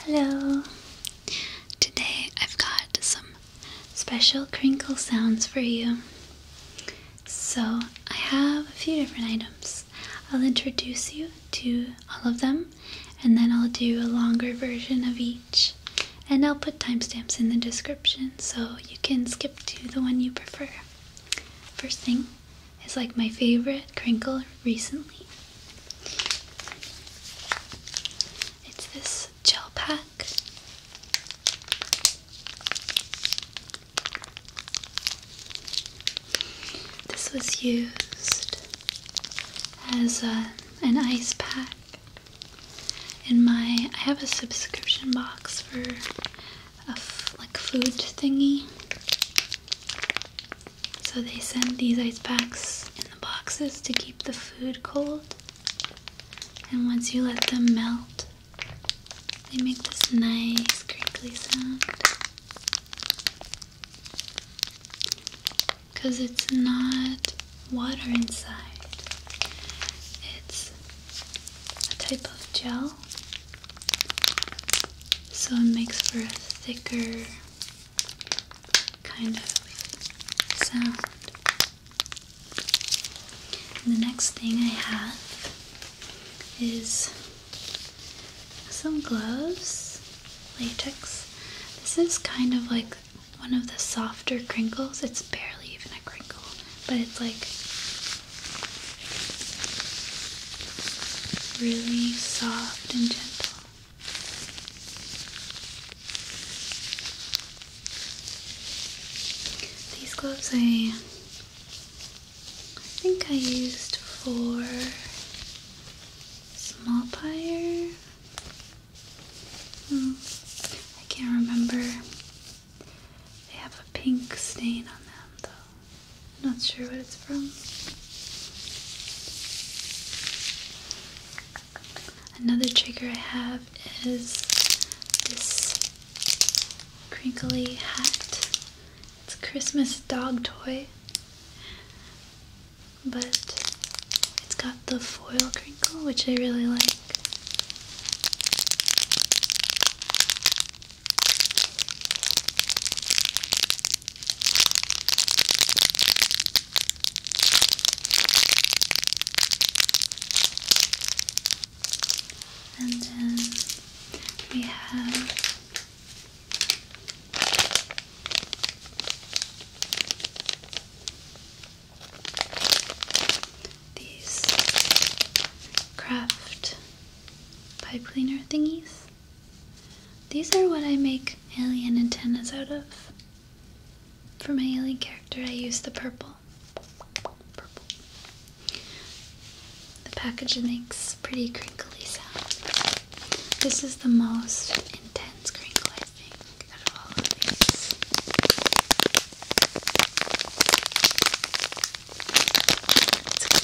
Hello! Today I've got some special crinkle sounds for you. So I have a few different items. I'll introduce you to all of them and then I'll do a longer version of each. And I'll put timestamps in the description so you can skip to the one you prefer. First thing, is like my favorite crinkle recently. It's this gel pack. This was used as uh, an ice pack in my. I have a subscription box for a like food thingy. So they send these ice packs in the boxes to keep the food cold. And once you let them melt, they make this nice crinkly sound. Because it's not water inside, it's a type of gel. So it makes for a thicker kind of sound. And the next thing I have is some gloves, latex. This is kind of like one of the softer crinkles. It's barely even a crinkle, but it's like really soft and gentle. These gloves I think I used for small pyre. Hmm, I can't remember. They have a pink stain on them though. Not sure what it's from. Another trigger I have is this crinkly hat. It's a Christmas dog toy, but it's got the foil crinkle, which I really like. And then we have these craft pipe cleaner thingies. These are what I make alien antennas out of. For my alien character, I use the purple. The package makes pretty crinkly sound. This is the most intense crinkle, I of all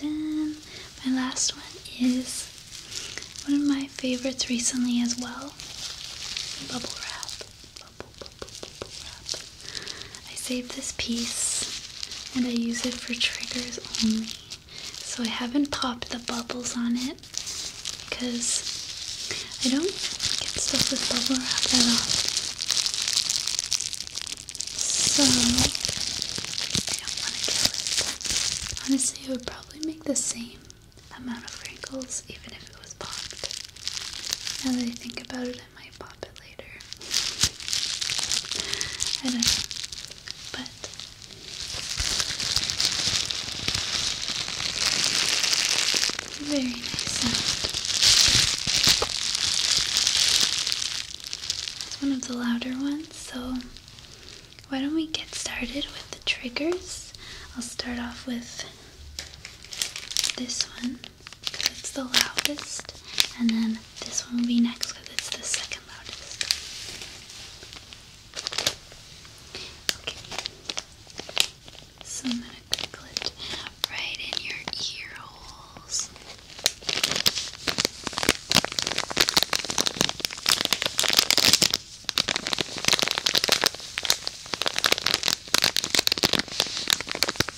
And then my last one is one of my favorites recently as well. Bubble wrap. Bubble, bubble, bubble wrap. I saved this piece and I use it for triggers only. So I haven't popped the bubbles on it because I don't get stuff with bubble wrap that often. So I don't want to kill it. Honestly, it would probably make the same amount of wrinkles even if it was popped. Now that I think about it, I might pop it later. I don't know. But very nice It's one of the louder ones, so why don't we get started with the triggers? I'll start off with this one because it's the loudest, and then this one will be next because it's the second loudest. Okay, so I'm gonna crinkle it right in your ear holes.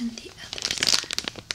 And the other side. Okay.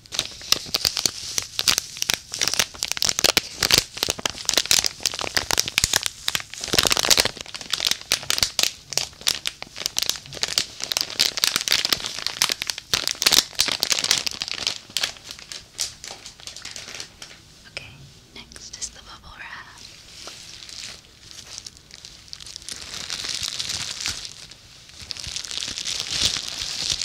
Okay, next is the bubble wrap.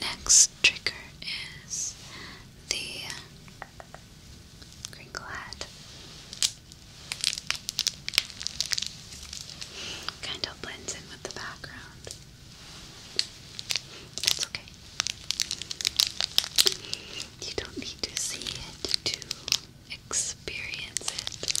Next trigger is the crinkle head. Kind of blends in with the background. That's okay. You don't need to see it to experience it.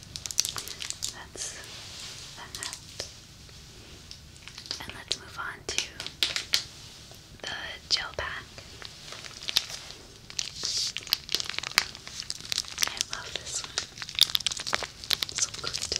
That's that. And let's move on to the gel pack. I love this one. So good.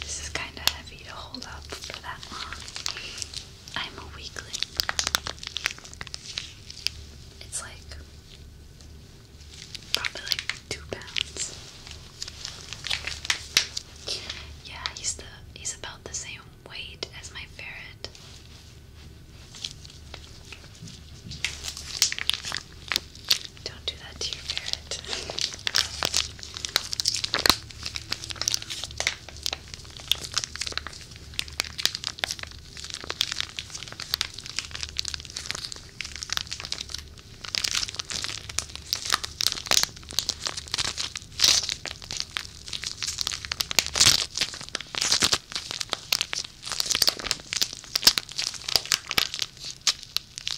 This is kind of heavy to hold up for that long. I'm a weakling. It's like probably like two pounds. Yeah, he's the he's about the same weight as my ferret. Don't do that to your ferret.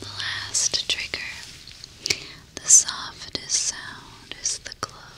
the last trigger. The softest sound is the glow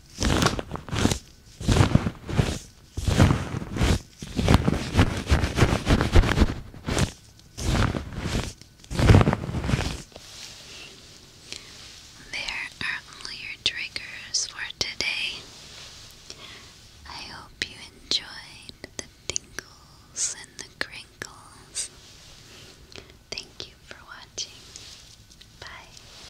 There are all your triggers for today. I hope you enjoyed the tingles and the crinkles. Thank you for watching. Bye.